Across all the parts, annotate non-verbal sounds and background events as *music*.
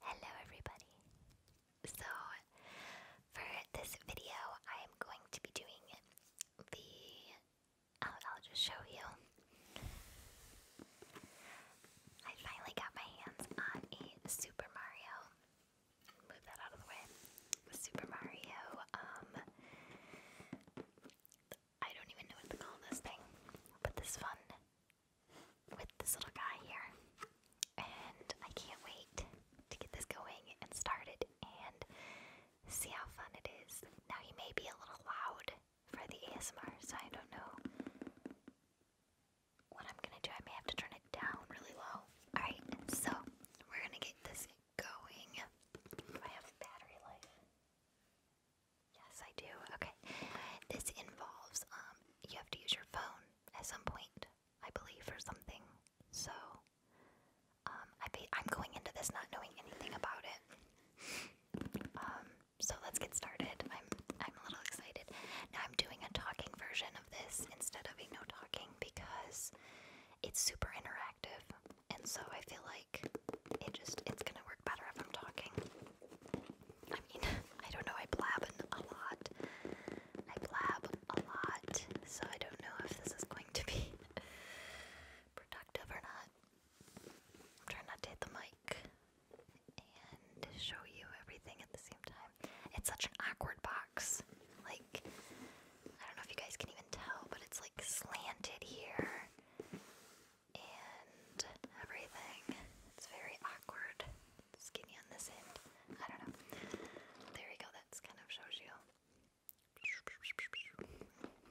Hello everybody. So for this video I am going to be doing the oh, I'll, just show you. I finally got my hands on a Super Mario move that out of the way. Super Mario, um, I don't even know what to call this thing, but this fun with this little guy here, and I can't wait to get this going and started and see how fun it is. Now he may be a little loud for the ASMR, so I don't know what I'm gonna do. I may have to turn it down really low. Alright, so we're gonna get this going. Do I have battery life? Yes, I do. Okay. This involves um you have to use your phone at some point, I believe, or something. So um I be I'm going into this not knowing anything about it. Um so let's get started. I'm I'm a little excited. Now I'm doing a talking version of this instead of a no talking because it's super interactive and so I feel like it just it's gonna work better if I'm talking. I mean, *laughs* I don't know, I blab a lot. I blab a lot, so I don't know if this is going to be *laughs* productive or not. I'm trying not to hit the mic and show you everything at the same time. It's such an awkward box. Like, I don't know if you guys can even tell, but it's like slanted here and everything. It's very awkward. Skinny on this end. I don't know. There we go, that's kind of shows you.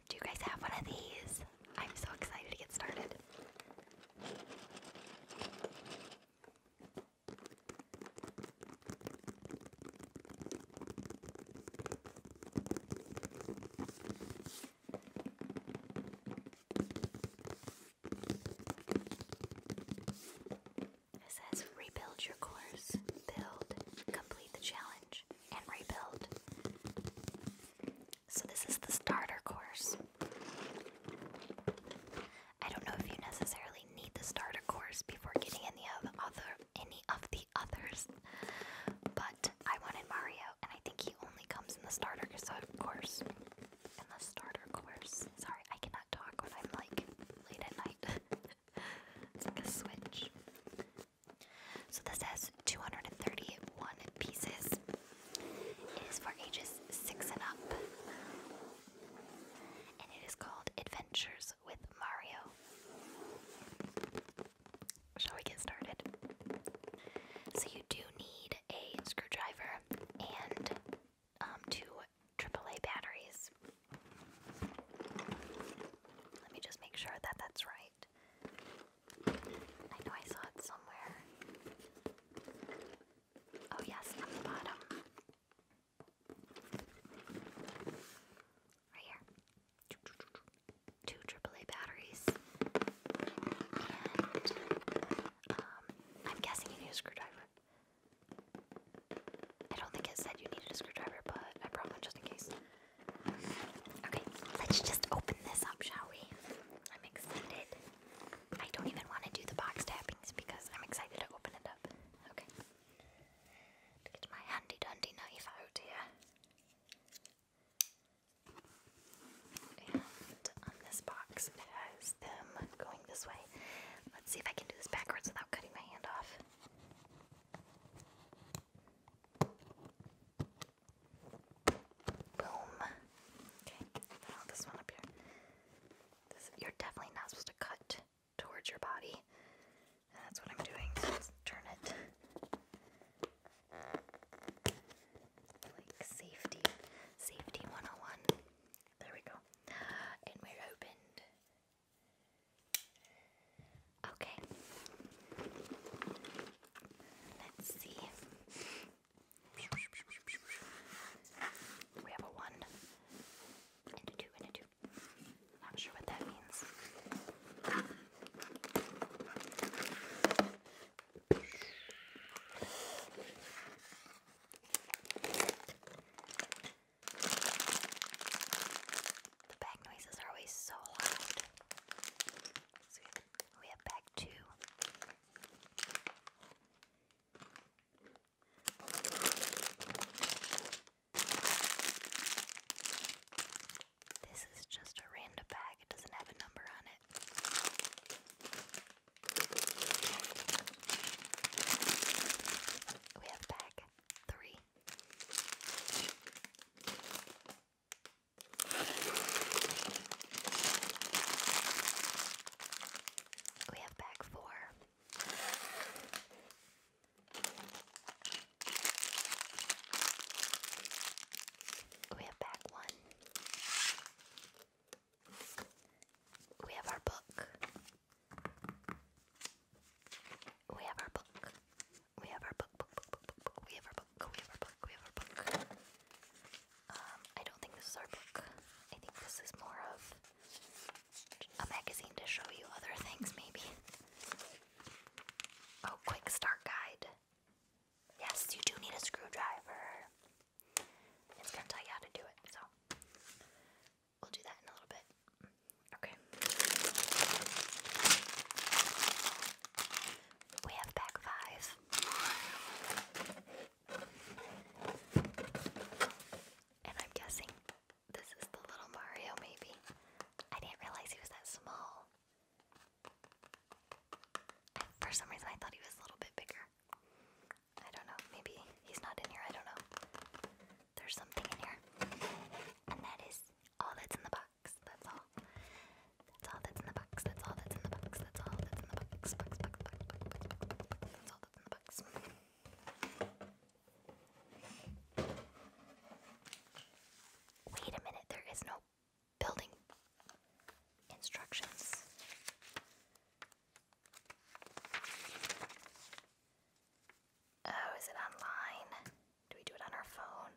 Do you guys have one of these? I'm so excited to get started. It says rebuild your course, build, complete the challenge, and rebuild. So, this is the starter course. I don't know if you necessarily need the starter course before getting any of other, of the others. But I wanted Mario, and I think he only comes in the starter course. In the starter course. Sorry, I cannot talk when I'm like late at night. *laughs* it's like a switch. So this has 231 pieces. It is for ages 6 and up. And it is called Adventures with Mario. Shall we get started? So, you do need a screwdriver and um, two AAA batteries. Let me just make sure that that's right. I know I saw it somewhere. Oh, yes, on the bottom. Right here. Two AAA batteries. um, I'm guessing you need a screwdriver. I don't think it said you needed a screwdriver, but I brought one just in case. Okay, let's just open this up, shall we? I'm excited. I don't even want to do the box tappings because I'm excited to open it up. Okay to get my handy dandy knife out here. And on this box has them going this way. Let's see if I can do this backwards without cutting my hand off. Boom. Okay, now this one up here. This, you're definitely not supposed to cut towards your body. that's what I'm doing. turn it like safety, safety 101. There we go. And we're opened. Okay. Let's see. We have a one and a two and a two to. Not sure what that means. The bag noises are always so loud. we have bag two. This is just a random bag, it doesn't have a number on it. We have bag three. We have bag four. We have back one. We have our book. We have our book. We have our book, book, book, book, book. We have our book. We have our book. We have our book. Um, I don't think this is our book. I think this is more of a magazine to show you other things, maybe. Oh, quick start guide. Yes, you do need a screwdriver. It's gonna tell you how to do it, so we'll do that in a little bit. Okay. We have pack five. And I'm guessing this is the little Mario, maybe? I didn't realize he was that small. for some reason, I thought he was a little bit bigger. I don't know. Maybe he's not in here. I don't know. There's something in here. And that is all that's in the box. That's all. That's all that's in the box. That's all that's in the box. That's all that's in the box. box, box, box, box, box, box, box. That's all that's in the box. Wait a minute, there is no building instructions. Oh, is it online? Do we do it on our phone?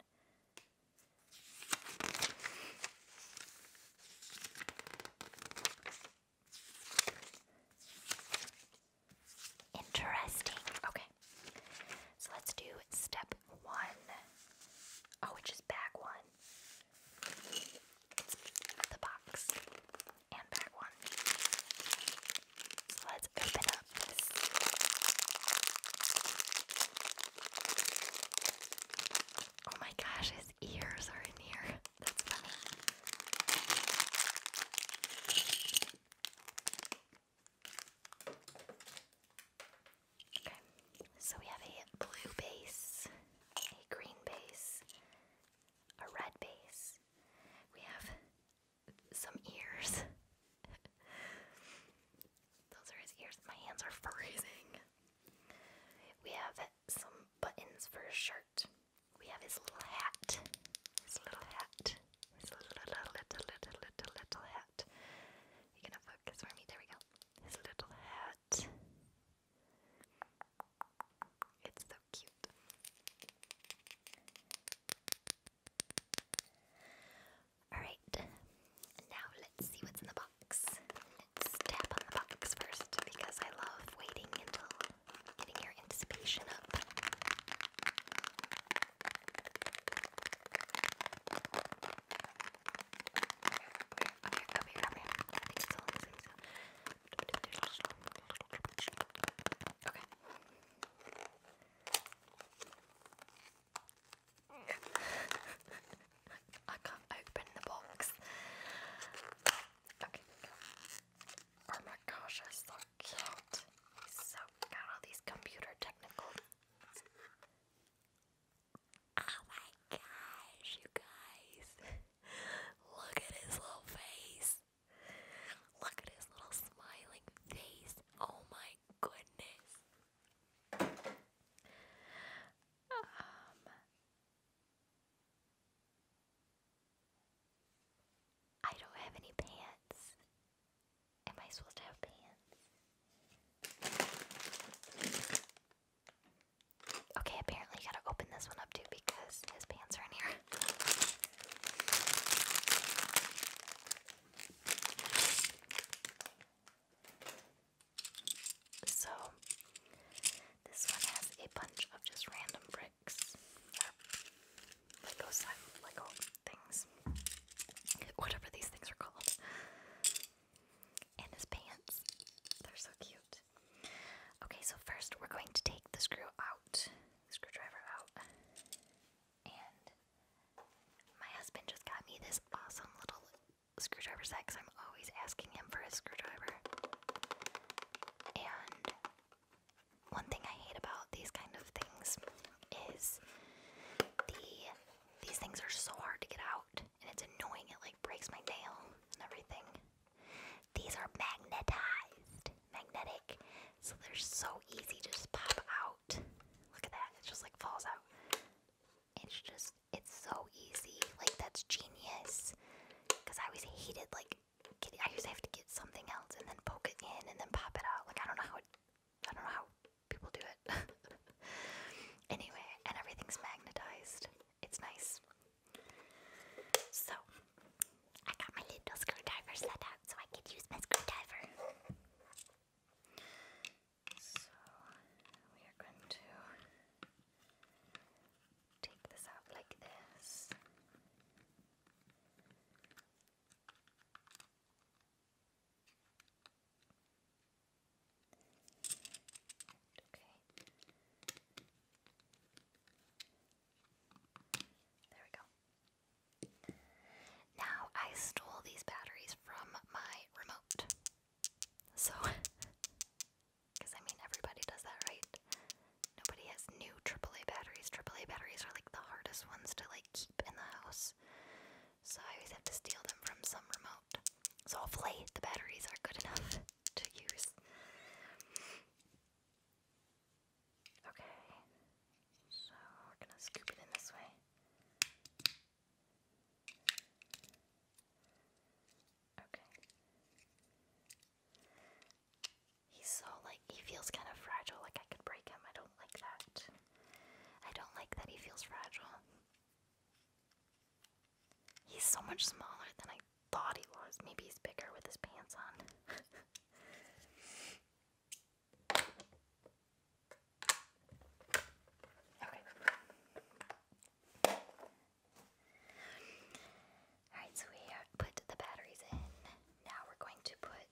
Interesting. Okay. So let's do step one. Oh, which is bag one. the box and bag one. So let's open up this. Oh my gosh, his ears are in here. That's funny. Okay, so we have a blue base, a green base, a red base. We have some ears. *laughs* Those are his ears. My hands are *laughs* freezing. We have some buttons for his shirt. We have his little hat. His little hat. His little, little, little, little, little, little hat. You're gonna focus for me. There we go. His little hat. It's so cute. Alright, now let's see what's in the box. tap on the box first because I love waiting until getting your anticipation up. Okay, come here, come here. I think it's all in the face. Okay. I can't open the box. Okay. Oh my gosh, I saw cat. so got all these computer technicals. Oh my gosh, you guys. Look at his little face. Look at his little smiling face. Oh my goodness. Um I don't have any pants. Am I supposed to have pants? Okay, apparently you gotta open this one up too because his pants are in here. So, this one has a bunch of just random bricks. Lego Lego things, whatever these things are called, and his pants. They're so cute. Okay, so first we're going to take the screw out, screwdriver out, and my husband just got me this awesome little screwdriver set because I'm always asking him for his screwdriver, and one thing I hate about these kind of things is the these things are so hard to get out and it's annoying. It like breaks my nail and everything. These are magnetized, magnetic, so they're so easy to just pop out. Look at that. It just like falls out. It's just it's so easy. Like that's genius. Cuz I always hated like I usually have to get something else and then poke it in and then pop it out. Like I don't know how it I don't know how people do it. *laughs* anyway, and everything's magnetized. It's nice. So, I got my little screwdrivers let out so I could use my screwdriver. So, we are going to take this out like this. Okay. There we go. Now I stole these batteries from my remote. So, because *laughs* I mean, everybody does that, right? Nobody has new AAA batteries. AAA batteries are like the hardest ones to like keep in the house. So I always have to steal them from some remote. So hopefully the batteries are good enough *laughs* to use. Okay. So we're gonna scoop it in this way. Okay. He's so like he feels kind of fragile, like I could break him. I don't like that. I don't like that he feels fragile. He's so much smaller than I thought he was. Maybe he's bigger with his pants on. *laughs* okay. Alright, so we put the batteries in. Now we're going to put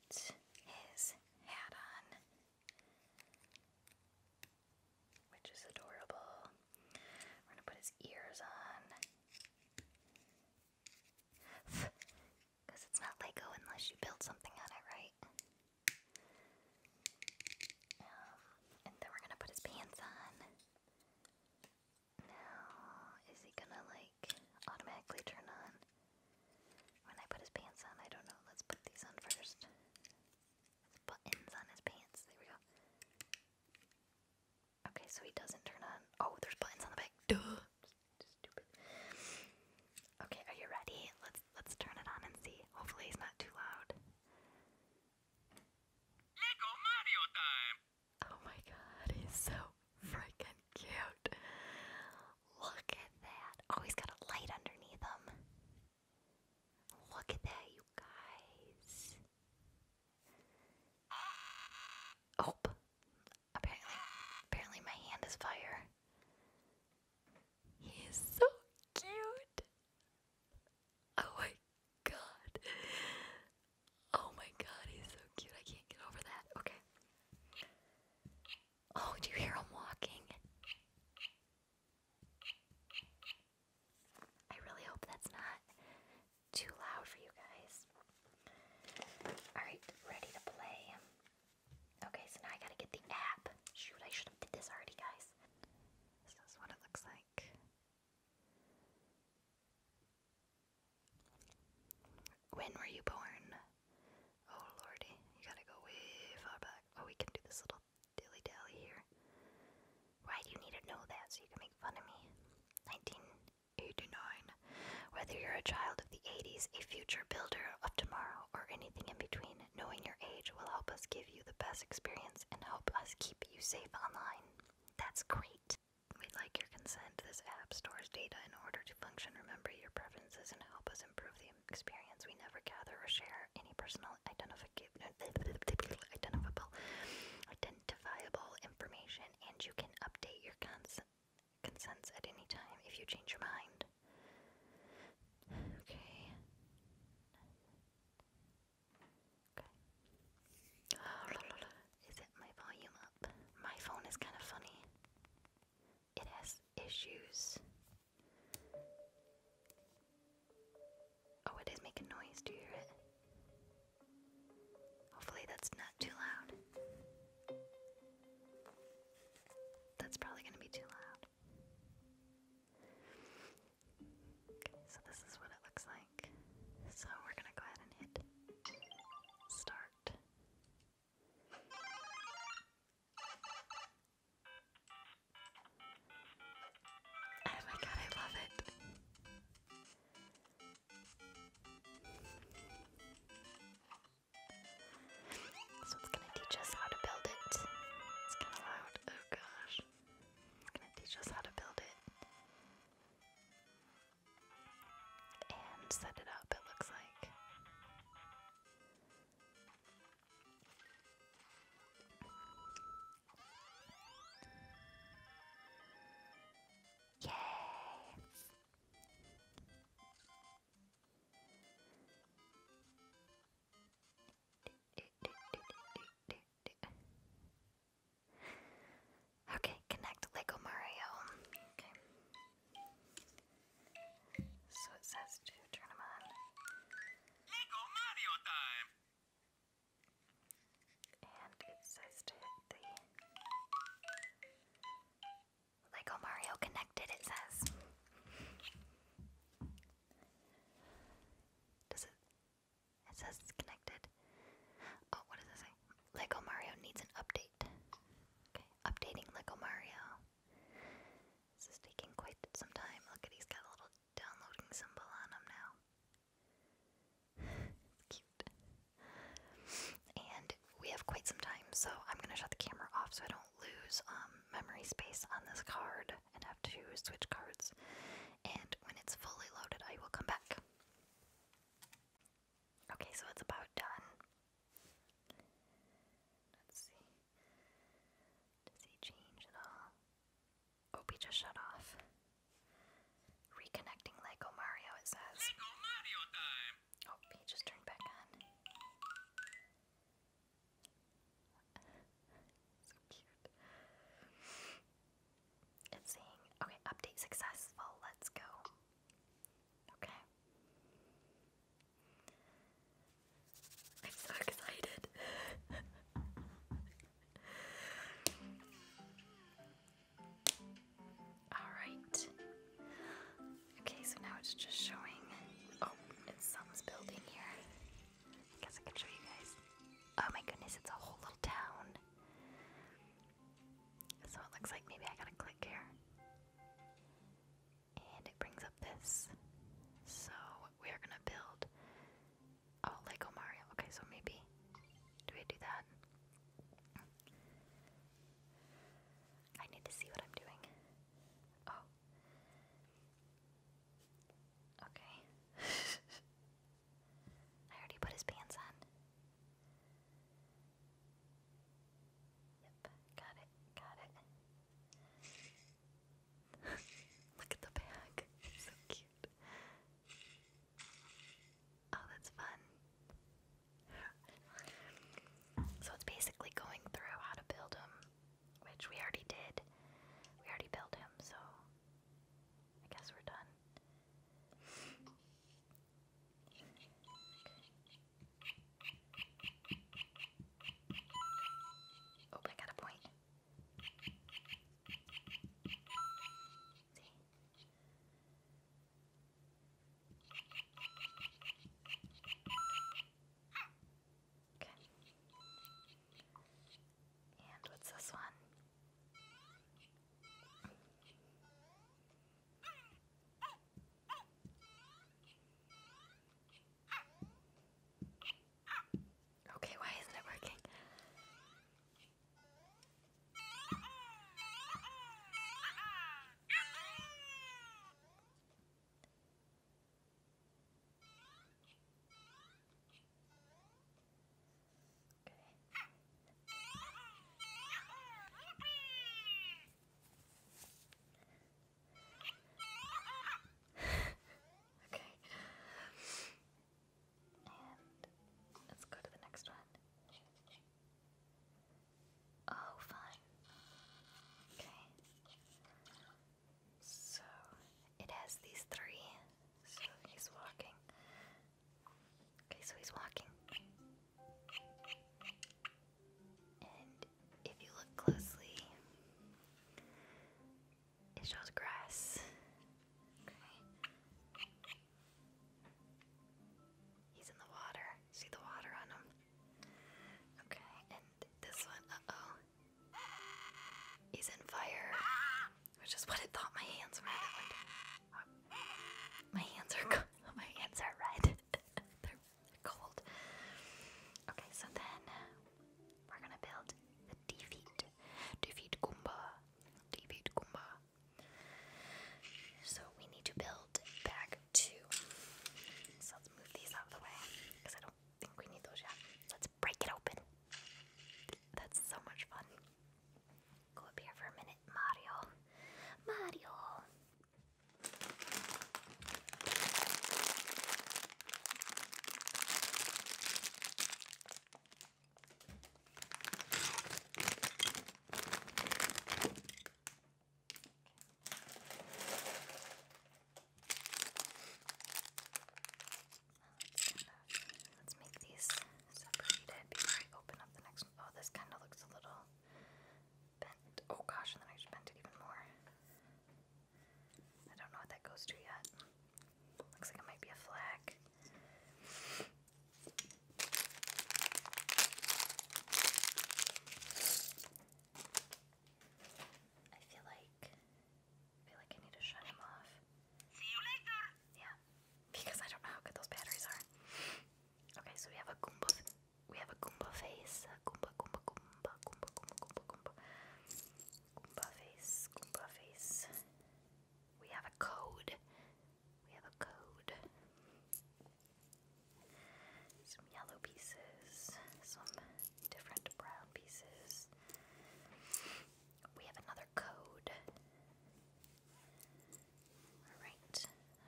his hat on. Which is adorable. We're gonna put his ears on. Because *sighs* it's not Lego unless you build something on it, right? Um, and then we're gonna put his pants on. Now, is he gonna like automatically turn on? When I put his pants on, I don't know. Let's put these on first. buttons on his pants. There we go. Okay, so he doesn't turn on. Oh, there's buttons on the back. Duh. stupid. Okay, are you ready? Let's let's turn it on and see. Hopefully, he's not too loud. Oh my god, he's so freaking cute. Look at that. Oh, he's got a light underneath him. Look at that, you guys. Oh, apparently, apparently my hand is fire. He is so cute. Oh my god. Oh my god, he's so cute. I can't get over that. Okay. Oh, do you hear him walking? I really hope that's not too loud for you guys. Alright, ready to play. Okay, so now I gotta get the app. Shoot, I should have did this already, guys. This is what it looks like. When were you born? Oh lordy, you gotta go way far back. Oh, we can do this little dilly dally here. Why do you need to know that so you can make fun of me? 1989. Whether you're a child of the 80s, a future builder of tomorrow, or anything in between, knowing your age will help us give you the best experience and help us keep you safe online. That's great. We'd like your consent. This app stores data in order to function, remember your preferences, and help us improve the experience. We never gather or share any personal identifiable, identifiable information, and you can update your cons consents at any time if you change your mind. Okay. Okay. Oh, is it my volume up? My phone is kind of funny it has issues. Oh, it is making noise. Do you hear it? Hopefully, that's not too loud. That's probably going to be too loud. Okay, so this is what it looks like. So we're going to go ahead and hit start. Oh my god, I love it. So it's gonna teach us how to build it. It's kinda loud. Oh gosh. It's gonna teach us how to build it. And set it up, it looks like. Yay! *laughs* Okay, connect Lego Mario. So it says to turn them on. Lego Mario time! And it says to hit the Lego Mario connected, it says. Does it? It says it's connected. Oh, what does it say? Lego Mario needs an update. updating Lego Mario. This is taking quite some time. Look at he's got a little downloading symbol on him now. *laughs* it's cute. And we have quite some time, so I'm gonna shut the camera off so I don't lose um, memory space on this card and have to switch cards. And when it's fully loaded, I will come back. Okay, so it's about done. Let's see. Does he change at all? Opie oh, just shut off. Reconnecting Lego Mario, says. Lego oh, just turned back on. so cute. It's saying, okay, update successful, let's go. Okay. I'm so excited. Alright. Okay, so now it's just showing. Oh, it's some's building here. I guess I can show you guys. Oh my goodness, it's a whole little town. So it looks like maybe I gotta click here. And it brings up this. So we are gonna build. Oh, Lego Mario. Okay, so maybe. Do we do that? I need to see what I'm doing. Oh. Okay. *laughs* I already put his pants on. Yep, got it, got it. Look at the bag. so cute. Oh, that's fun. So it's basically going through how to build him, which we already did. We already built him, so I guess we're done. Oh, I got a point. Okay. And what's this one? Okay, why isn't it working? *laughs* okay. And let's go to the next one. Oh, fine. Okay. So it has these three. So he's walking. Okay, so he's walking if you look closely, it shows grass. He's in the water. See the water on him? Okay, and this one, uh oh. He's in fire, which is what it thought my hands were. My hands are *laughs* my hands are red. *laughs* cold. Okay, so then uh, we're gonna build the defeat. Defeat Goomba. Defeat Goomba. So we need to build bag two. So let's move these out of the way. Because I don't think we need those yet. Let's break it open. That's so much fun. Go up here for a minute, Mario. Mario. Let's make these separated before I open up the next one. Oh, this kind of looks a little bent. Oh gosh, and then I bent it even more. I don't know what that goes to yet. Looks like it might be a flag. I feel like feel like I need to shut him off. See you later. Yeah, because I don't know how good those batteries are. Okay, so we have a Goomboof we have a Goomba face. Goomba, Goomba, Goomba, Goomba, Goomba, Goomba, Goomba face, Goomba face. We have a code. We have a code. Some yellow pieces, some different brown pieces. We have another code. Alright.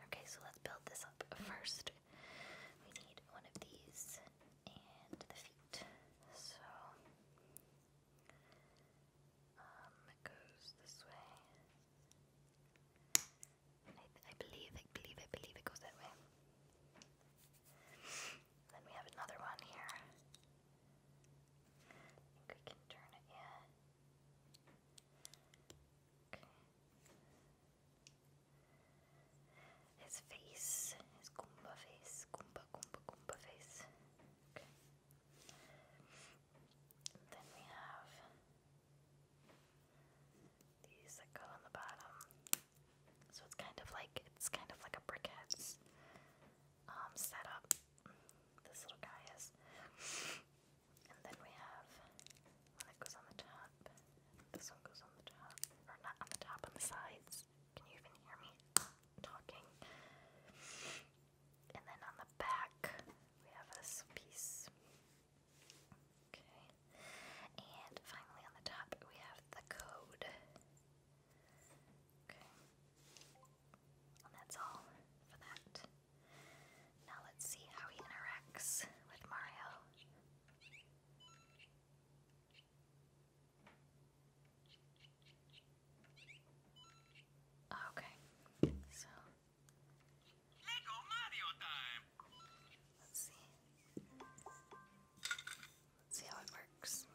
Okay, so let's build this up. First, we need one of these and the feet. So um, it goes this way. I, believe, I believe, I believe it goes that way. Then we have another one here. I think we can turn it, yeah. Okay. His face, his Goomba face, Goomba, Goomba, Goomba face. then we have these that go on the bottom. So it's kind of like it's kind of like a briquette's um, setup. This little guy is, and then we have one that goes on the top. This one goes on the top, or not on the top, on the sides. Can you even hear me talking? And then on the back, we have this piece. Okay. And finally on the top, we have the code. Okay. And that's all for that. Now let's see how he interacts with Mario. Okay, so Let's see. see how it works.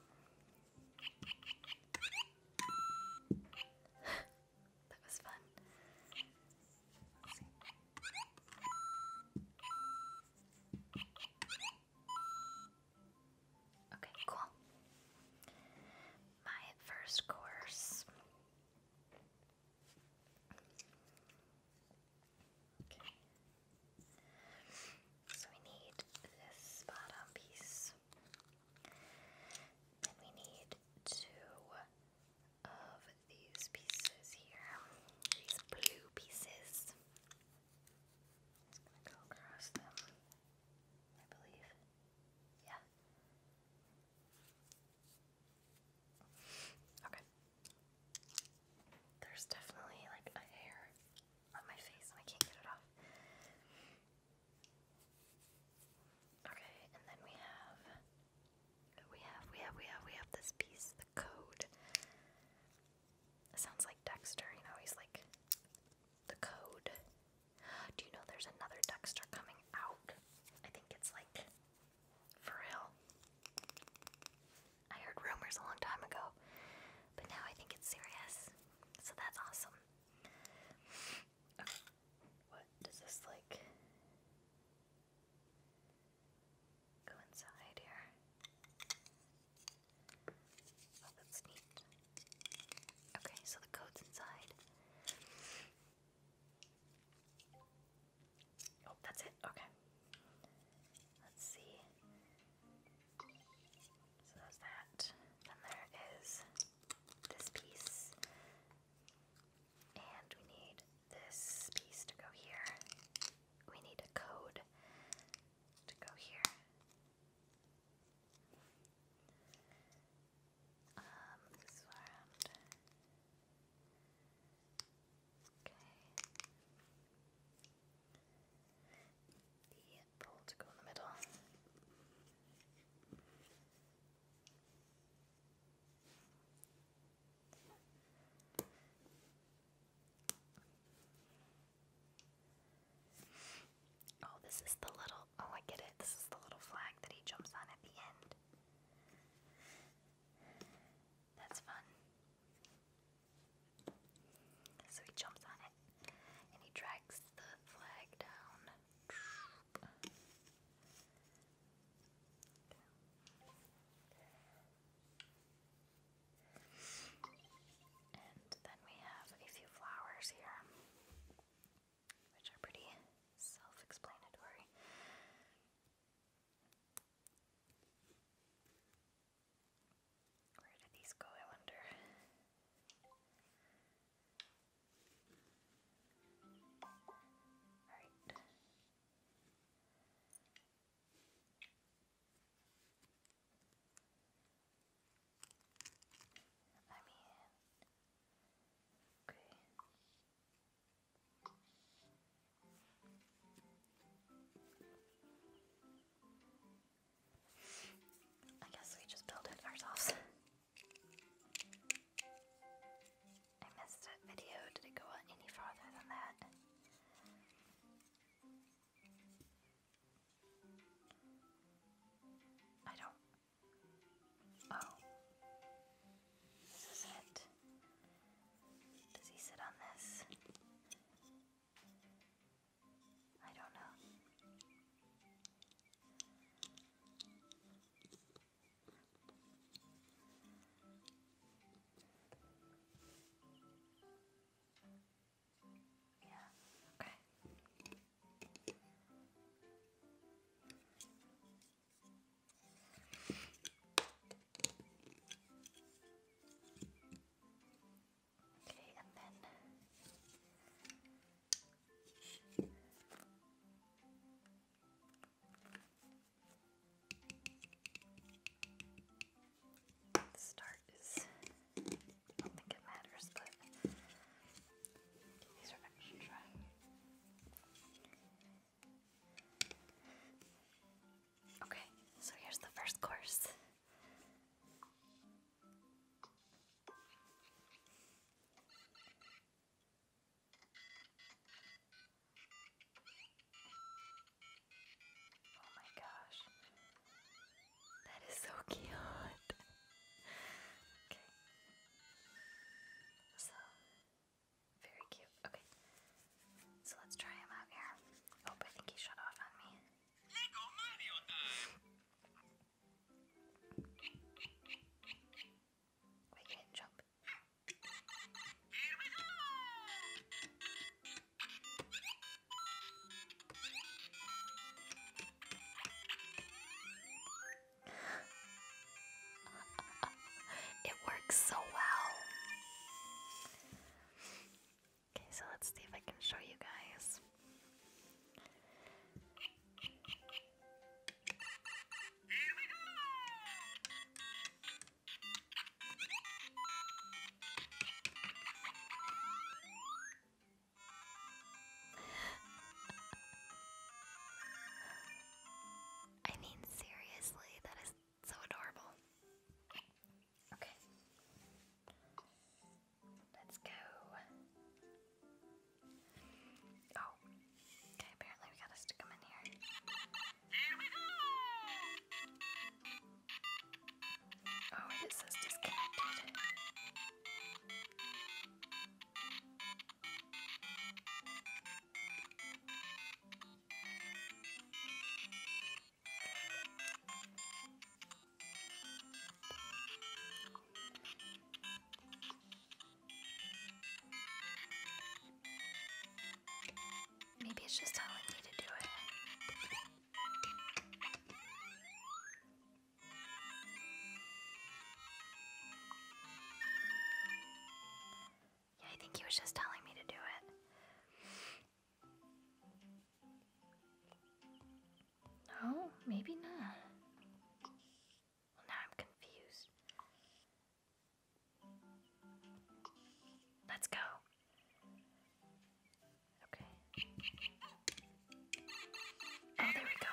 *laughs* that was fun. Okay, cool. My first course. So we need this bottom piece. And we need two of these pieces here, these blue pieces. i gonna go across them, I believe. Yeah. Okay. There's definitely like a hair on my face and I can't get it off. Okay, and then we have we have we have we have we have this piece, the code. It sounds like Dexter, you know, he's like the code. Do you know there's another Dexter coming out? I think it's like for real. I heard rumors a long time ago, but now I think it's serious. So that's awesome. What does this like? Go inside here. Oh, that's neat. Okay, so the code's inside. Oh, that's it. Okay. Let's see. So that. Then there is this piece. And we need this piece to go here we need a code to go here. Um, okay. The pole to go in the middle. Oh, this is the little. Oh, I get it. This is the little flag that he jumps on at the end. That's fun. So he jumps on it and he drags the flag down. And then we have a few flowers here, which are pretty self explanatory. Where did these go, I wonder? Alright. I mean, okay. I guess we just build it ourselves. *laughs* I missed that video. Did it go any farther than that? I don't. Oh. This is it. Does he sit on this? I don't know. Yeah, okay. Okay, and then the start is, I don't think it matters, but these are extra. Okay, so here's the first course. Oh my gosh. That is so cute. okay. So, very cute. Okay. So let's try him out here. Oh, I think he shut off on me. Lego Mario time! Wait, you jump. Here we go! it works so well. Okay, so let's see if I can show you guys. I mean, seriously, that is so adorable. Okay. Let's go. Oh. Okay, apparently we gotta stick them in here. Here we go! Oh, and it says disconnected. Maybe it's just telling me to do it. Yeah, I think he was just telling me to do it. No, maybe not. now I'm confused. Let's go. Okay. Oh, there we go.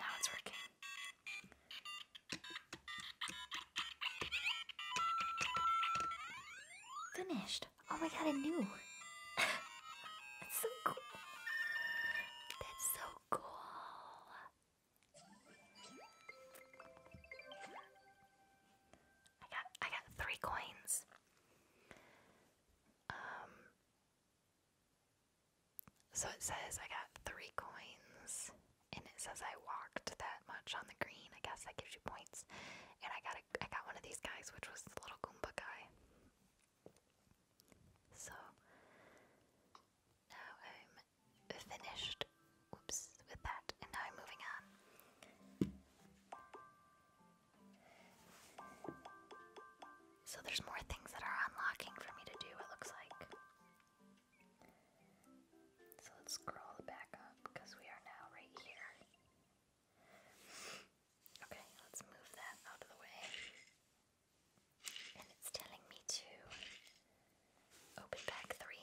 Now it's working. Finished. Oh my god, I knew. *laughs* That's so cool. That's so cool. I got I got three coins. Um so it says I got three coins and it says I walked that much on the green. I guess that gives you points. And I got a, I got one of these guys which was the little Goomba guy. So now I'm finished oops with that and now I'm moving on. So there's more things that are unlocking for me to do, it looks like. So let's scroll back up because we are now right here. Okay, let's move that out of the way. And it's telling me to open pack three.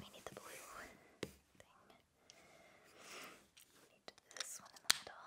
We need the blue thing. need this one in the middle.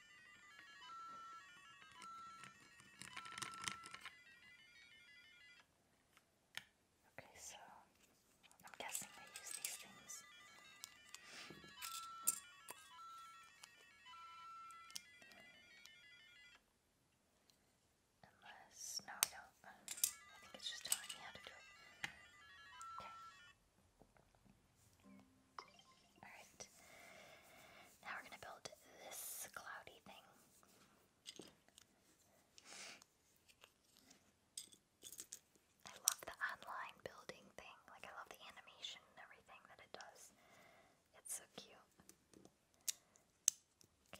Okay, so I'm guessing they use these things. Unless, no, I don't. I think it's just telling me how to do it. Okay. Alright. Now we're going to build this cloudy thing. I love the online building thing. Like, I love the animation and everything that it does. It's so cute. Okay.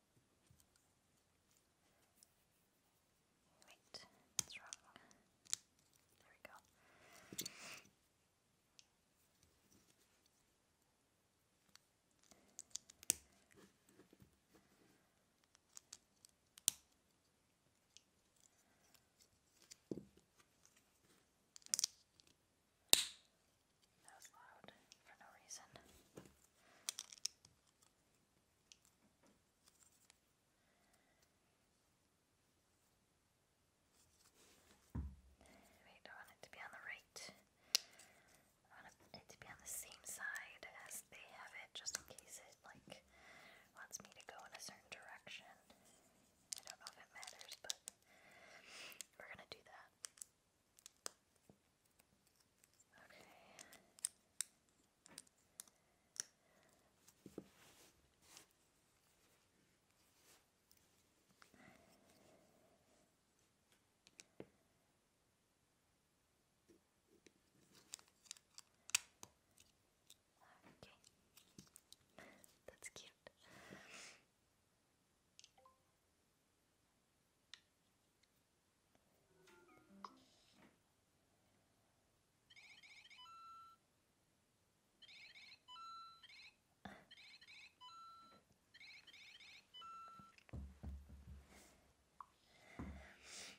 Wait, that's wrong. There we go. That was loud for no reason. Wait, I want it to be on the right. I want it to be on the same side as they have it, just in case it like wants me to go in a certain direction. I don't know if it matters, but we're gonna do that. Okay. Okay. That's cute. All right, now we need back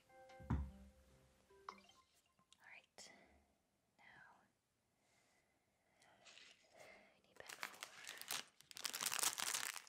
four.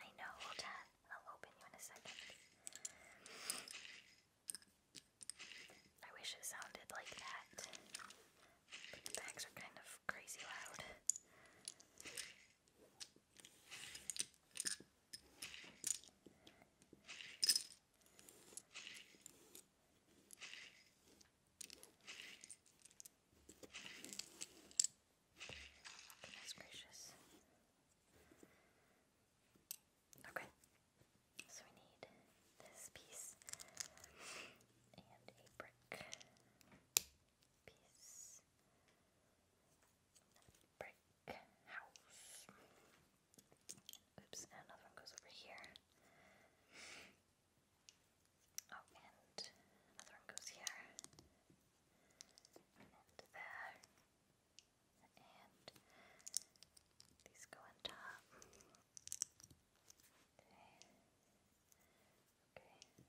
I know, hold on. I'll open you in a second. I wish it sounded like that. the bags are kind of crazy loud. Goodness gracious. Okay. So we need this piece and a brick piece. Brick house. Oops, another one goes over here. Oh, and another one goes here and there, and these go on top. Okay. Okay. Okay.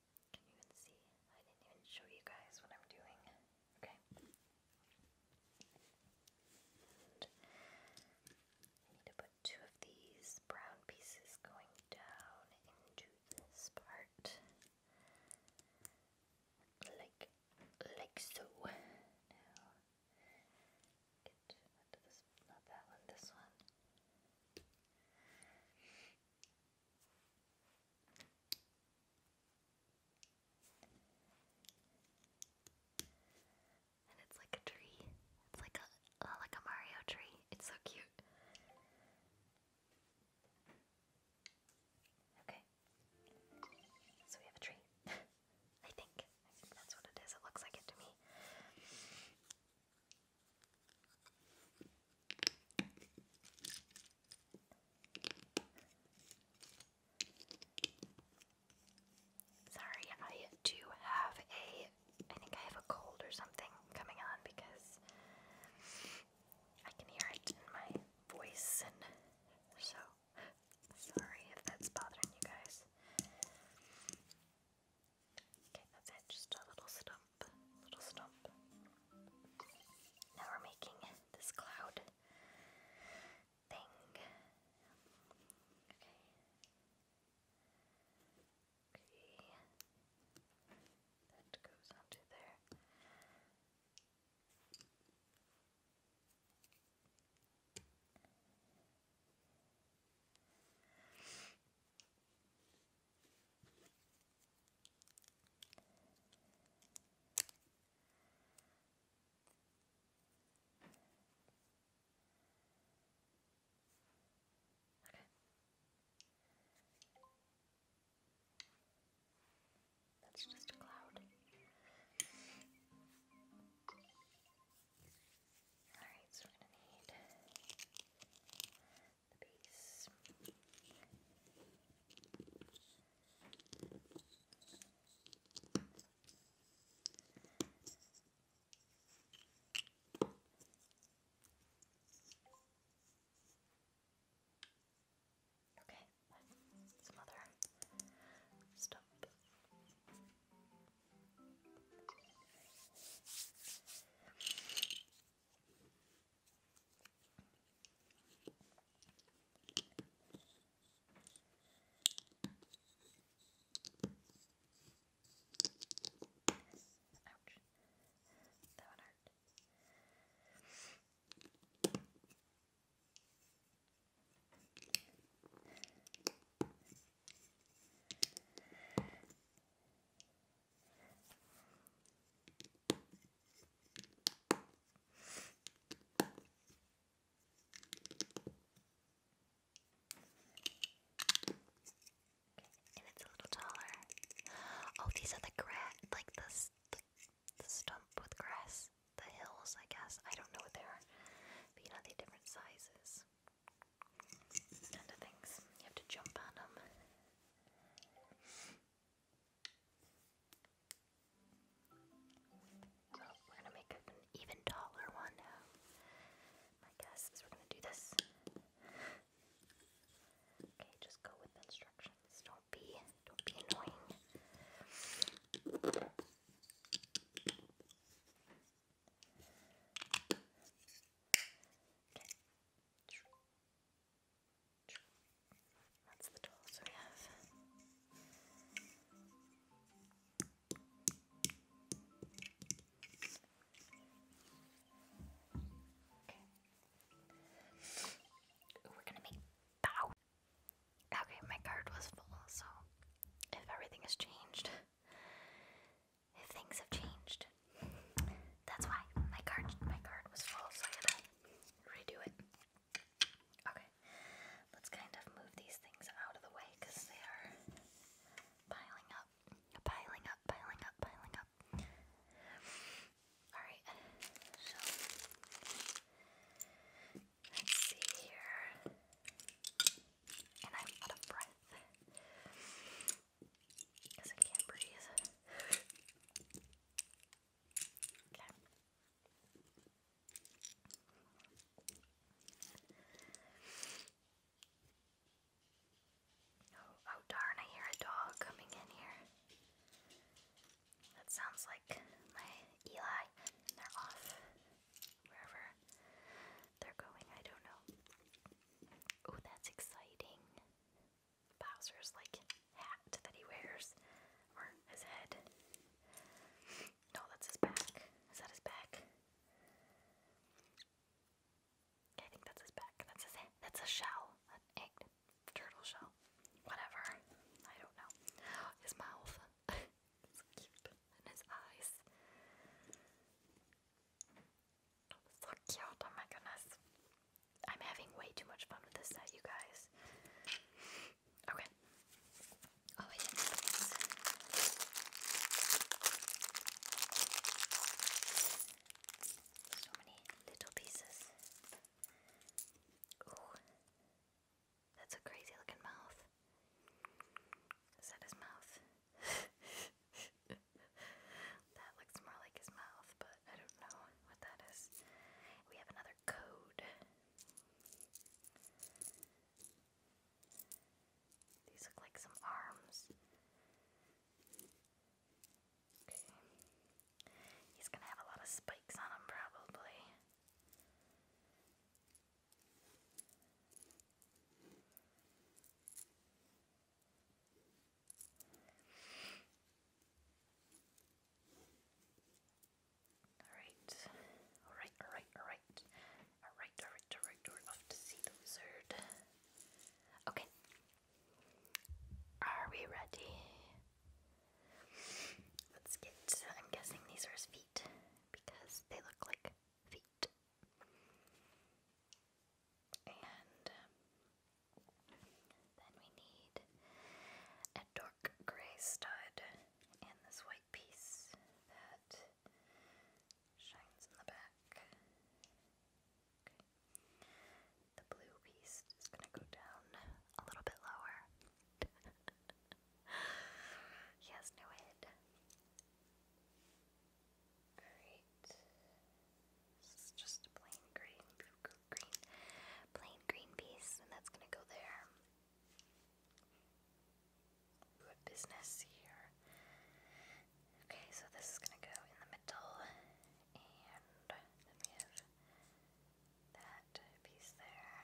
Can you even see? I didn't even show you guys what I'm doing. Okay. need to put two of these brown pieces going down into this part. Like like so. Now get this not that one, this one. And it's like a tree. It's like a uh, like a Mario tree. It's so cute. Okay. So we have a tree. *laughs* I think. I think that's what it is. It looks like it to me. Sorry, I do have a. I think I have a cold or something coming on because I can hear it in my voice, and so sorry if that's bothering you guys. Okay, that's it. Just a little stub stump, little stump. Now we're making this cloud thing. Okay. Okay. That goes onto there. That's just a cloud. Alright, so we're gonna need the Okay, some other stuff. Ouch. That one hurt. And it's a little taller. Oh, these are the grass, like the, the, stump with grass, the hills, I guess. I don't know what they are, but you know, different sizes and the things. You have to jump on them. So we're gonna make an even taller one now. My guess we're gonna do this. Okay, just go with instructions. Don't be don't be annoying. Okay. That's the tools we have. Okay. we're gonna make Okay, my card was full, so if everything has changed, if things have changed, that's why my card my card was full, so I had to redo it. Okay, let's kind of move these things out of the way because they are piling up, piling up, piling up, piling up. All right, so let's see here. And I'm out of breath. Oh, oh darn, I hear a dog coming in here. That sounds like my Eli. They're off wherever they're going, I don't know. Oh, that's exciting. Bowser's like hat that he wears, or his head. No, that's his back. Is that his back? I think that's his back. That's his head. That's a shell, an egg, turtle shell, whatever. I don't know. His mouth. *laughs* it's cute. And his eyes. So cute, oh my goodness. I'm having way too much fun with this set, you guys. Okay. Oh, I didn't have these. So many little pieces. Ooh. That's a crazy looking mouth. Is that his mouth? *laughs* That looks more like his mouth, but I don't know what that is. We have another code. These look like some arms. Okay. He's gonna have a lot of spikes on him, probably. Alright, alright, alright, alright. Alright, alright, alright, we're off to see the wizard. Okay. Are we ready? Let's get, I'm guessing these are his feet because they look like feet. And um, then we need a dark grey stud and this white piece that shines in the back. The blue piece is going to go down a little bit lower. *laughs* he has no head. This is just a plain green, plain green piece, and that's gonna go there. We business here. Okay, so this is gonna go in the middle, and then we have that piece there,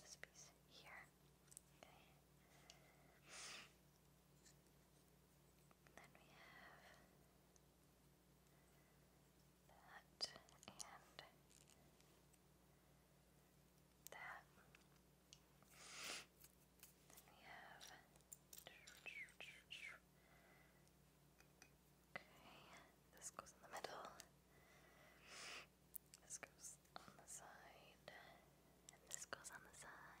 this piece here. Okay. then we have that, and that. Then we have. Okay, this goes in the middle. This goes on the side, and this goes on the side.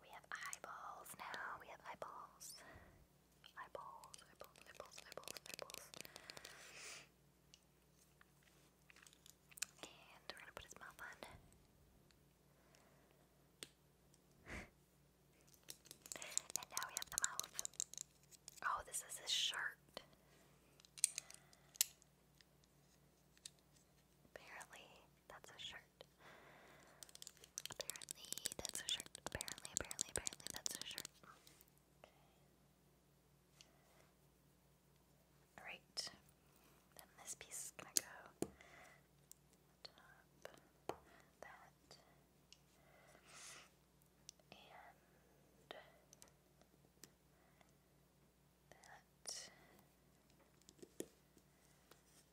We have eyeballs now. We have eyeballs. Eyeballs, eyeballs, eyeballs, eyeballs, eyeballs. And we're gonna put his mouth on. and now we have the mouth. Oh, this is his shirt. Apparently, that's a shirt. Apparently, that's a shirt. Apparently, apparently, apparently, that's a shirt. Alright. Then this piece is gonna go that and that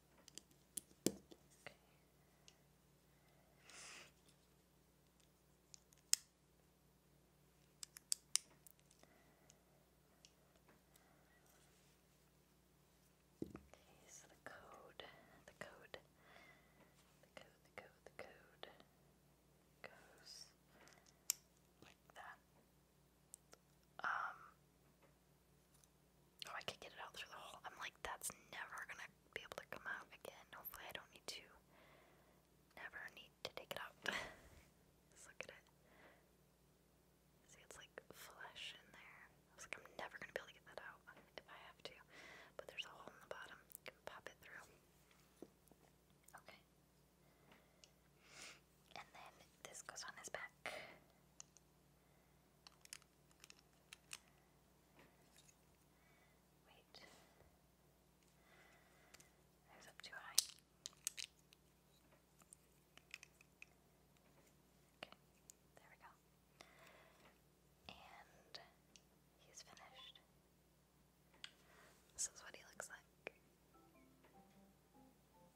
Okay. Okay, so the code, the code, the code, the code, the code goes like that. Um, Oh, I could get it out through the hole. I'm like, that's never gonna be able to come out again. Hopefully, I don't need to. Never need to take it out. *laughs* Just look at it. See, it's like flesh in there. I was like, I'm never gonna be able to get that out if I have to. But there's a hole in the bottom. can pop it through. Okay. And then this goes on his back. Wait. I was up too high. Okay, there we go. And he's finished. This is what he looks like. Come on.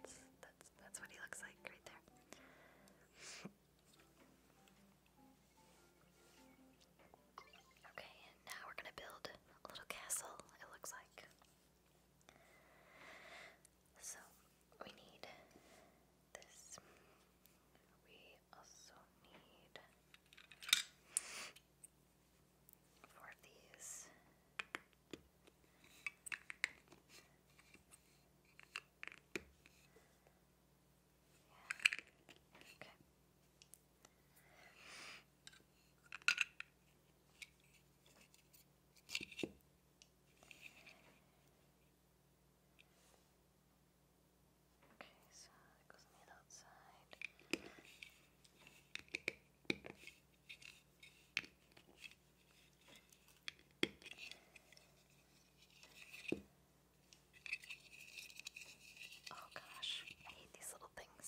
That's that's that's what he looks like right there. okay, and now we're gonna build a little castle, it looks like. So we need this. We also need for these. Okay. Okay, so it goes on outside. Oh gosh, I hate these little things.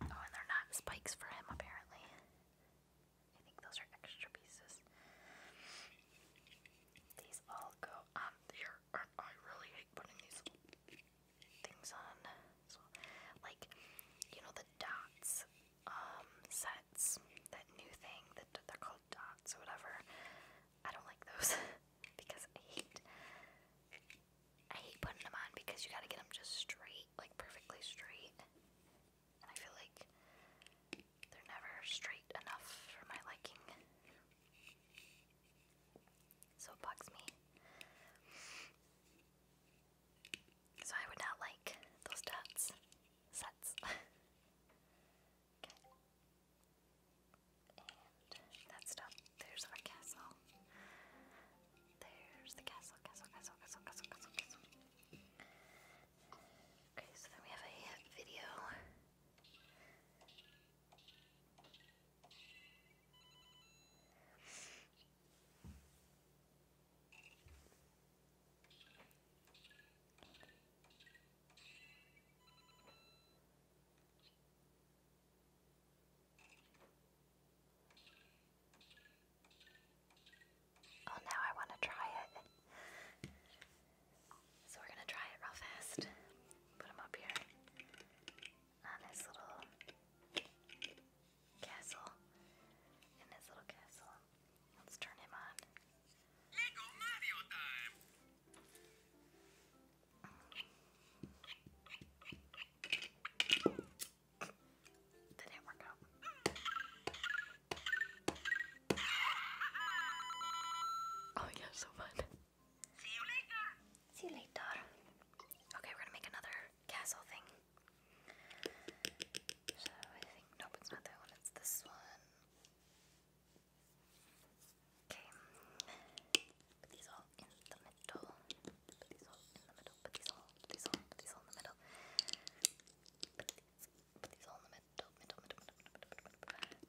Oh, and they're not spikes for him, apparently. I think those are extra pieces. These all go on there, I really hate putting these things on. So, like, you know, the dots um, sets, that new thing that they're called dots or whatever. I don't like those *laughs* because I hate. I hate putting them on because you gotta get them just straight, like perfectly straight. And I feel like they're never straight enough for my liking so it bugs me. So I would not like those dots. Sets. *laughs* okay. And that's There's our castle. There's the castle, castle, castle, castle, castle, castle, castle. Okay, so then we have a video. Oh, now I want to try it. So we're going to try it real fast. Put up here on his little castle. In his little castle. Let's turn him on. Oh yeah, so fun. See you later. Okay, we're gonna make another castle thing. So I think nope, it's not that one. It's this one. Okay. Put these all in the middle. Put these all in the middle. Put these all. Put these all. Put these all in the middle. Put these, put these all in the Middle. middle, middle, middle, middle, middle, middle.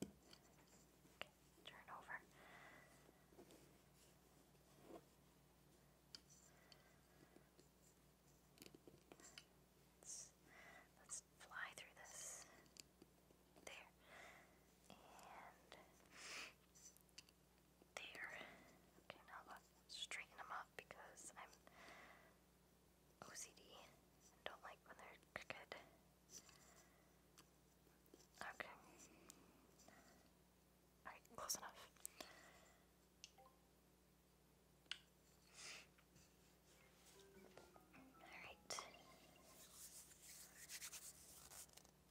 Okay, turn over. Let's, fly through this. There. there. Okay, now let's straighten them up because I'm OCD don't like when they're crooked. Okay. Alright, close enough. Alright.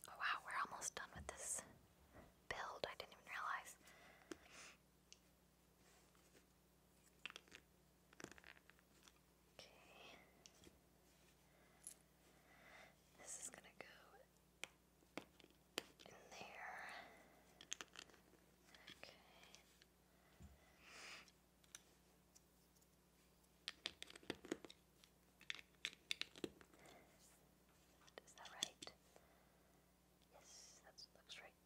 Oh wow, we're almost done with this build. I didn't even realize. Okay. This is gonna go in there. Okay. Is that right? Yes, that looks right.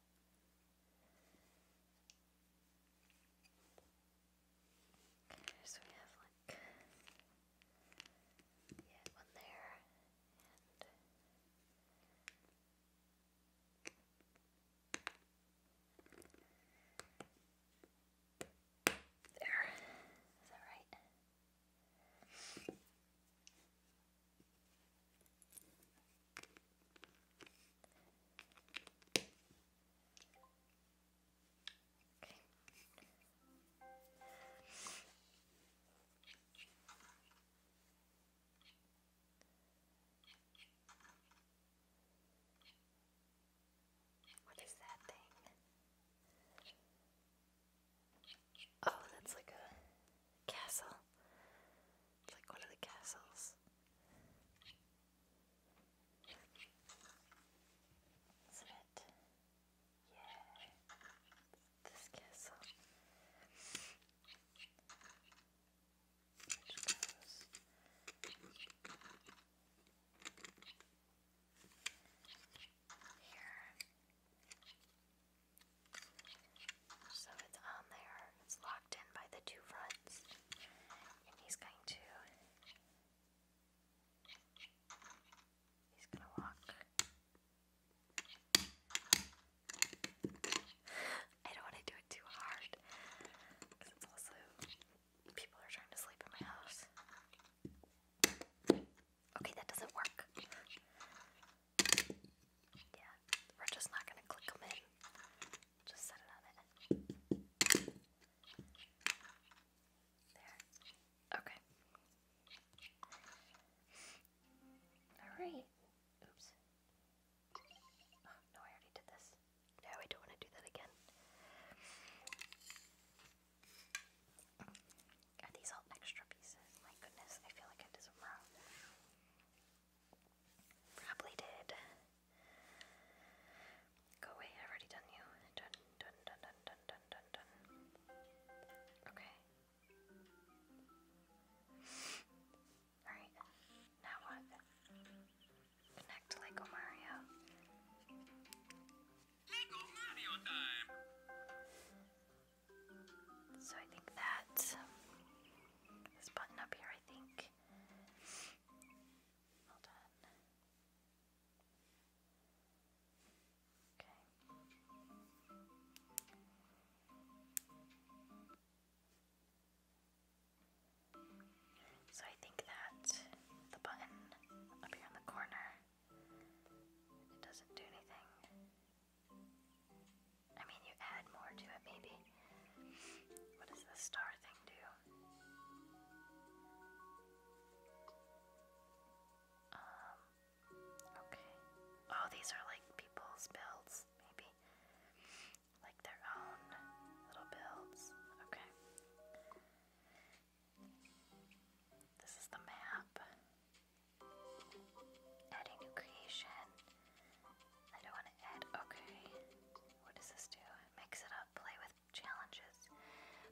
Okay, so we have like yeah, one there and there. Is that right? What is that thing? Oh, that's like a castle like all of the castles. Isn't it? Yeah. This castle. here. So it's on there, it's locked in by the two fronts, and he's going to he's gonna walk. I don't want to do it too hard because it's also people are trying to sleep in my house. Okay, that doesn't work. Yeah, we're just not gonna click them in. Just set it on it. There. Okay. Alright. Oops. Oh, no, I already did this. No, I don't want to do that again. Are these all extra pieces? My goodness, I feel like I did some Probably did. Go away, I've already done you. Done, done, done, done, done, done, done, done. Okay. Alright, now what? Connect Lego Mario. So I think that this button up here, I think. Okay. So I think that the button up here in the corner it doesn't do anything. I mean, you add more to it, maybe. What does the star thing do? Um, okay. Oh, these are like people's builds, maybe. Like their own little builds. Okay. This is the map. Add new creation. I don't want to add. Okay. What does this do? Mix it up. Play with challenges.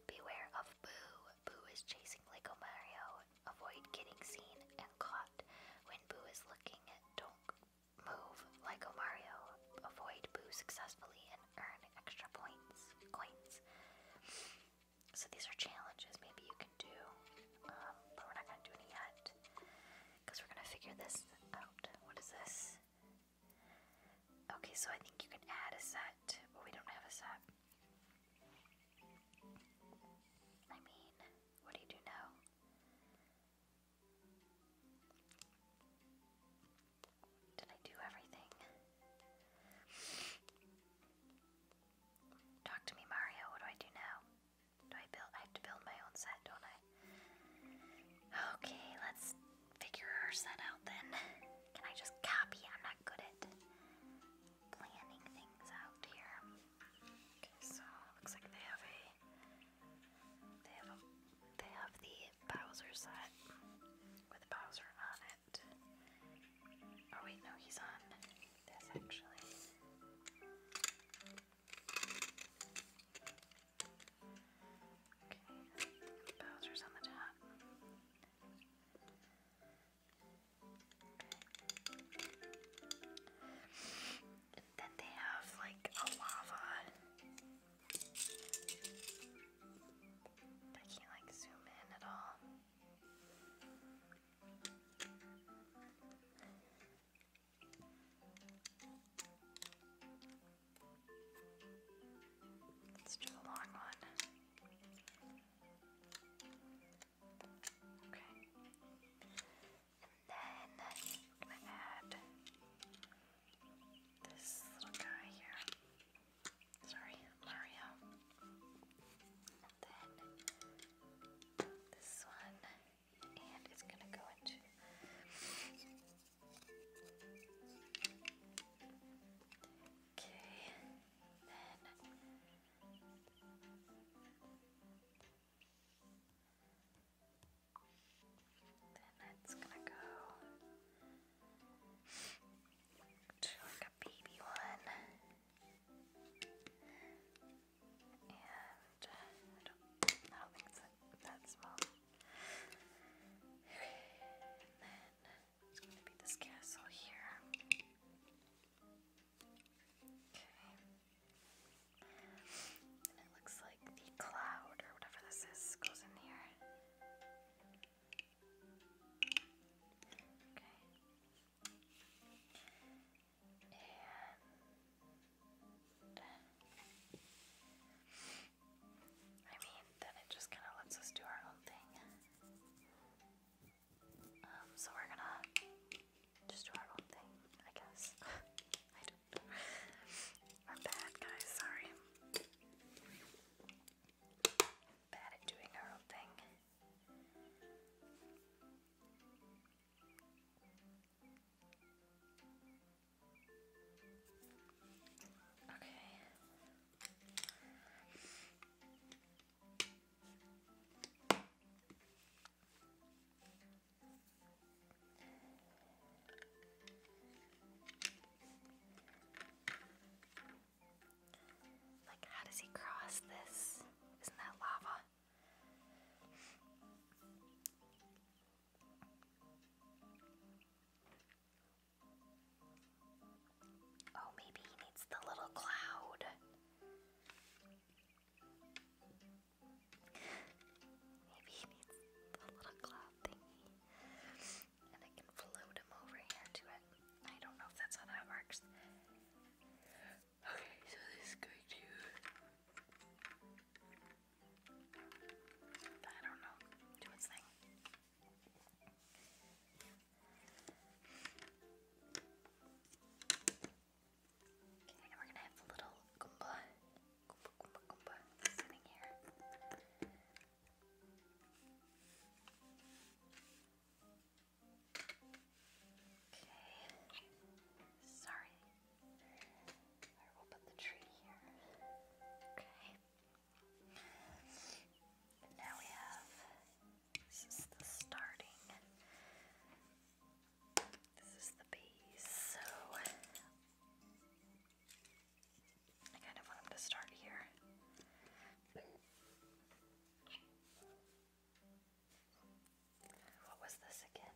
Beware of Boo. Boo is chasing Lego Mario. Avoid getting seen and caught. When Boo is looking, don't move Lego Mario. Avoid Boo successfully and earn extra points. Coins. So these are challenges maybe you can do, um, but we're not going to do any yet. Because we're going to figure this out. What is this? Okay, so I think you can add a set, but we don't have a set. I mean, what do you do now? Did I do everything? Talk to me, Mario. What do I do now? Do I build? I have to build my own set, don't I? Okay, let's figure our set out then. Can I just copy? I'm not good at planning things out here. Okay, so looks like they have a they have a they have the Bowser set with Bowser on it. Oh wait, no, he's on this actually. Okay, Bowser's on the top. Then they have like a lava. I can't like zoom in at all. Let's do long one. Okay. And then going to add this little guy here. Sorry, Mario. And then this one and it's gonna go into okay then it's gonna go to like a baby one and uh, I don't think it's that, small. And then it's going to be this castle here. Okay. And it looks like the cloud or whatever this is goes in here. Okay. Um, I mean, then it just kind of lets us do our own thing. Um, so we're gonna just do our own thing, I guess. *laughs* I don't know. bad, guys, sorry. Bad at doing our own thing. Okay. Like, how does he cross this? Isn't that lava? Oh, maybe he needs the little cloud. maybe he needs the little cloud thingy. And I can float him over here to it. I don't know if that's how that works. Okay, so this is going to I don't know, do its thing. Okay, we're gonna have the little Goomba, Goomba, Goomba, Goomba sitting here. Okay. Sorry, Alright, will put the tree here. Okay. now we have this is the starting. This is the base, so I kind of want them to start here. What was this again?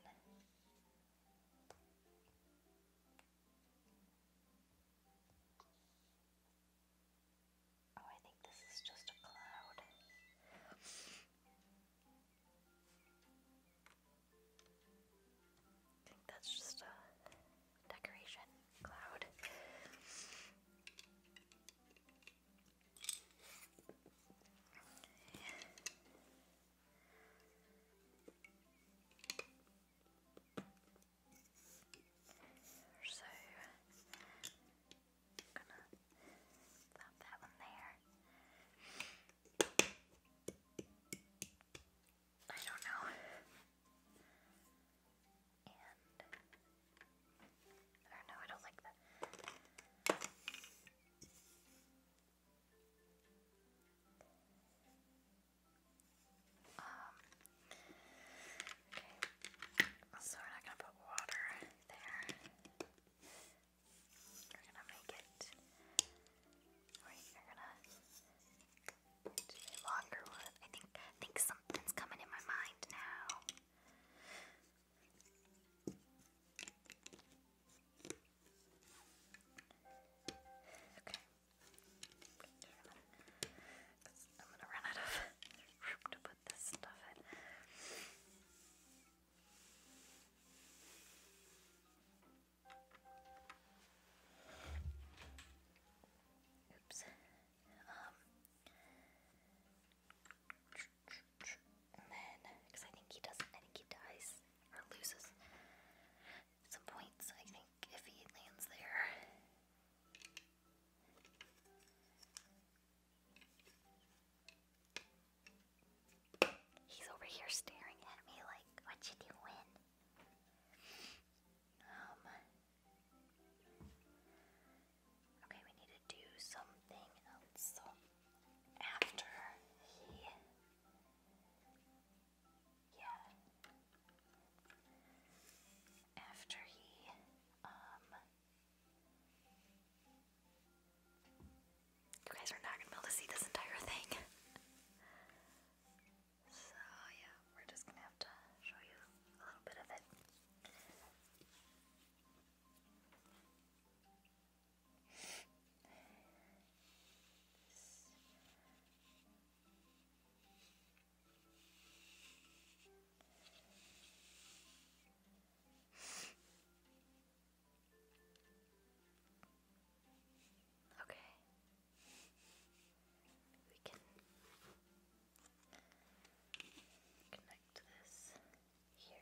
Oh, I think this is just a cloud. I think that's just a decoration cloud. So I'm gonna pop that one there. I don't know. And I don't know, I don't like that. Um, okay, so we're not gonna put water there. We're gonna make it, longer I think, I think something's coming in my mind now. Okay. I'm gonna run out of room to put this stuff in. Oops. Um. And I think he does, I think he dies loses some points, I think, if he lands there. He's over here staring at me like, what you doing? Um, okay, we need to do something else. after he yeah. After he, um, you guys are not gonna be able to see this entire thing. so yeah, we're just gonna have to show you a little bit of it. Okay. We can connect this here.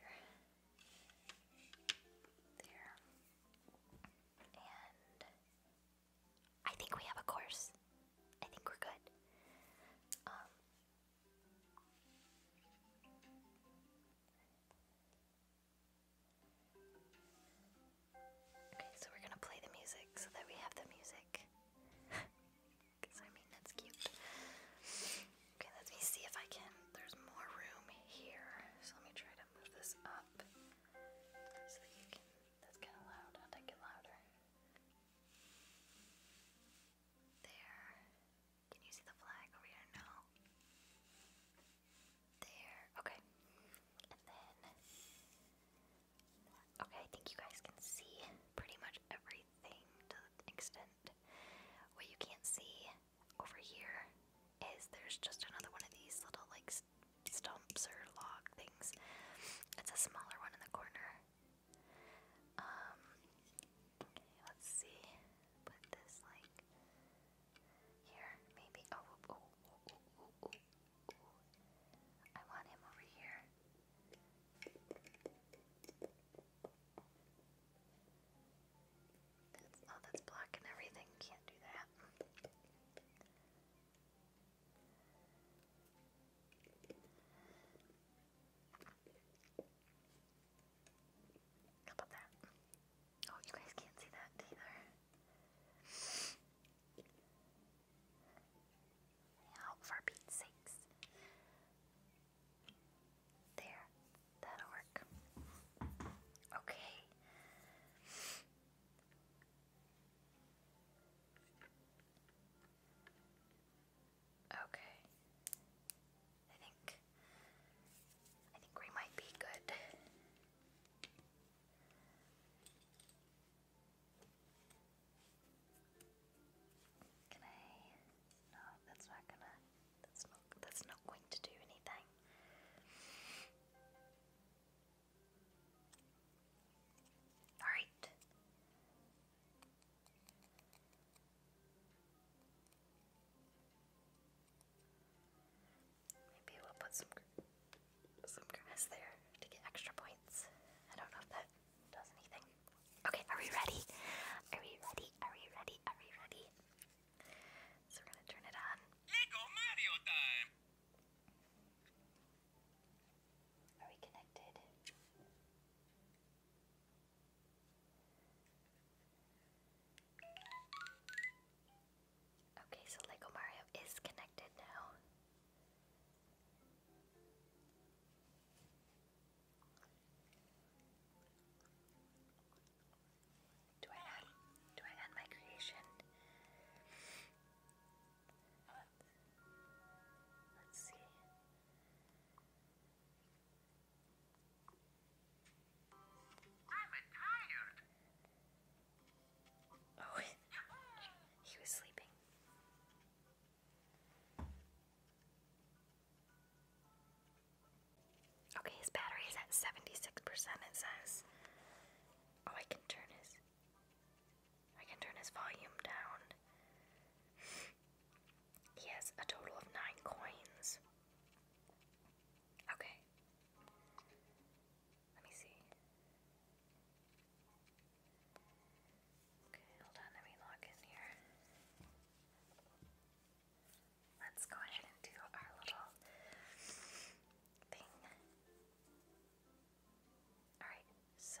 There. And I think we have a course. I think we're good. Um, okay, so we're gonna play the music so that we have the music. Because *laughs* I mean, that's cute. Okay, let me see if I can. There's more room here, so let me try to move this up so that you can. That's kind of loud. I'll take it louder. There. Can you see the flag over here? No. There. Okay. And then. Okay, I think you guys can see pretty much everything to the extent. What you can't see over here is there's just another one of these little like stumps or log things. It's a smaller one in the corner. Um, let's see. Put this like here, maybe. oh, oh, oh, oh, oh, oh. oh, oh. I want him over here. That's, oh, that's blocking everything. Can't do that. How about that? Oh, you guys can't see that either. for Pete's sakes. There. That'll work. Okay. Okay. I think I think we might be good. Can I? No, that's not gonna. That's not that's not going to do anything. Alright. Maybe we'll put some some grass there to get extra points. I don't know if that does anything. Okay, are we ready? Are we ready? Are we ready? Are we ready? So we're gonna turn it on. Mario time! Are we connected? Okay, so Lego Mario is connected now. Do I add do I add my creation? Let's see. Oh *laughs* he was sleeping. Okay, his battery is at 76%, it says. Oh, I can turn his... I can turn his volume down. *laughs* He has a total of nine coins. Okay. Let me see. Okay, hold on, let me log in here let's go ahead and do our little thing. Alright, so.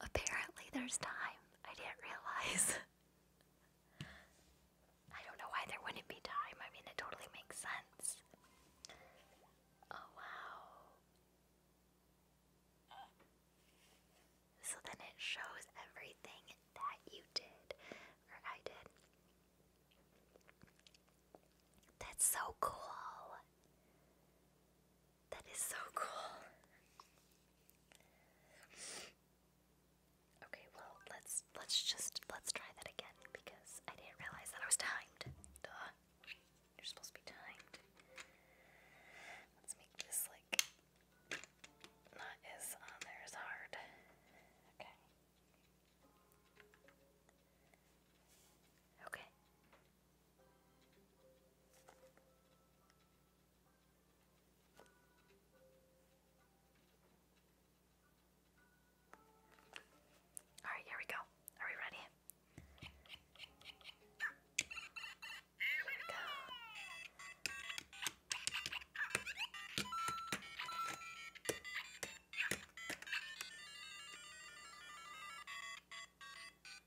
Apparently, there's time. I didn't realize. *laughs* I don't know why there wouldn't be time. I mean, it totally makes sense. Oh, wow. So then it shows everything that you did, or I did. That's so cool. That is so cool. Okay, well, let's let's just let's try that again because I didn't realize that I was timed. Duh. You're supposed to be timed. Let's make this like not on um, there hard. Okay. Okay. All right, here we go. Are we ready? Here we go.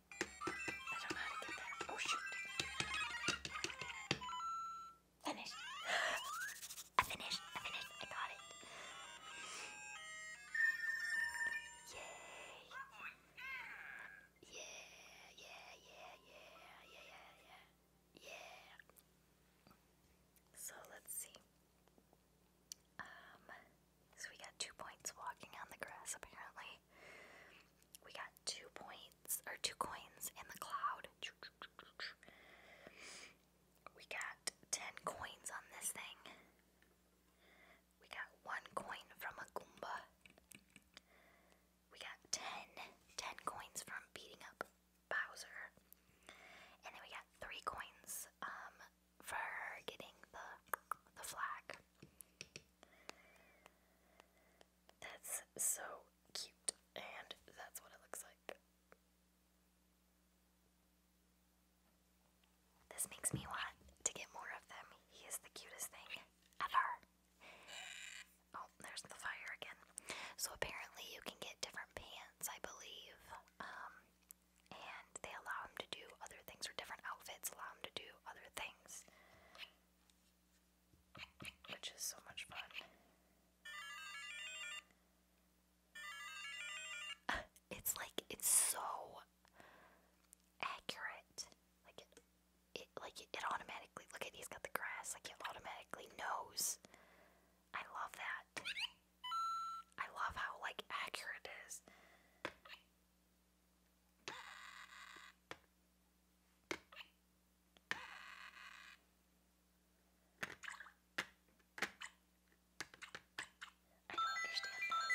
I Oh shoot! Finished. I finished. I finished. I got it. yeah, yeah, yeah, yeah, yeah, yeah, yeah. So let's see. Um. So we got two points walking on the grass, apparently. We got two points, or two coins in the cloud. We got ten coins on this thing. We got one coin from a Goomba. We got ten, ten coins from beating up Bowser. And then we got three coins um, for getting the the flag. That's so cute, and that's what it looks like. This makes me want to get more of them. He is the cutest thing ever. Oh, there's the fire again. So apparently you can get different pants, I believe. Um, and they allow him to do other things, or different outfits allow him to do other things. Which is so much fun. *laughs* It's like it's so accurate. Like it, like it automatically look at he's got the grass, like it automatically knows. I love that. I love how like accurate it is. I don't understand this. Oh,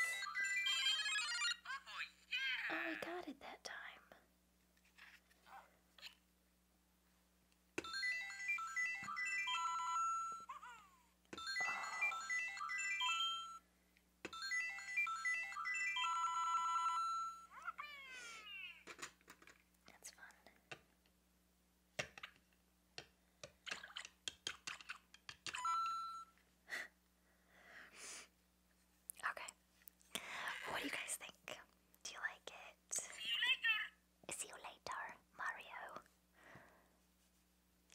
yeah. oh, I got it that time. Oh. That's fun. *laughs* okay. What do you guys think? Do you like it? See you later. See you later, Mario.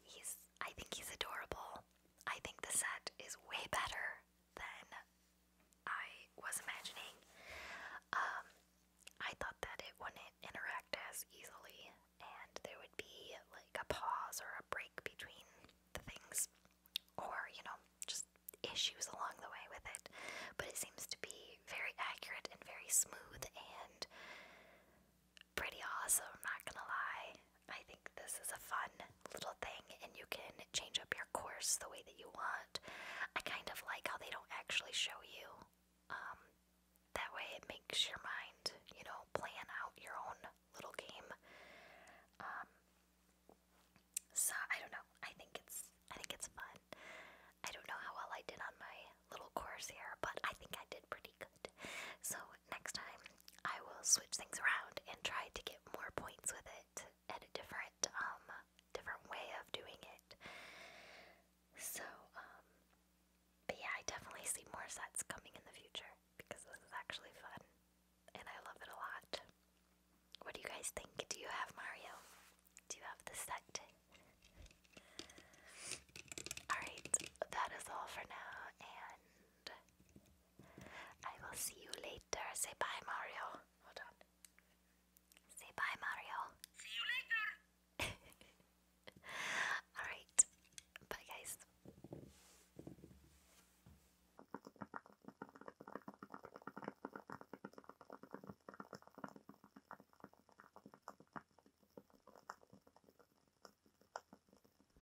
He's, I think he's adorable. I think the set is way better than I was imagining. Um, I thought that it wouldn't interact as easily, and there would be like a pause or a break between the things, or you know, just issues along the way with it. But it seems to be very accurate and very smooth and pretty awesome, not gonna lie. I think this is a fun little thing, and you can change up your course the way that you want. I kind of like how they don't actually show you. Um, that way, it makes your mind, you know, plan out your own little game. Um, so I don't know. I think it's I think it's fun. I don't know how well I did on my little course here, but I think I did pretty good. So next time I will switch things around and try to get more points with it at a different um different way of doing it. So um, but yeah, I definitely see more sets coming in the future because this is actually fun and I love it a lot. What do you guys think? Do you have Mario? Do you have the set? Alright, that is all for now, and I will see you later. Say bye, Mario. Hold on. Say bye, Mario. See you later. *laughs* Alright. Bye, guys.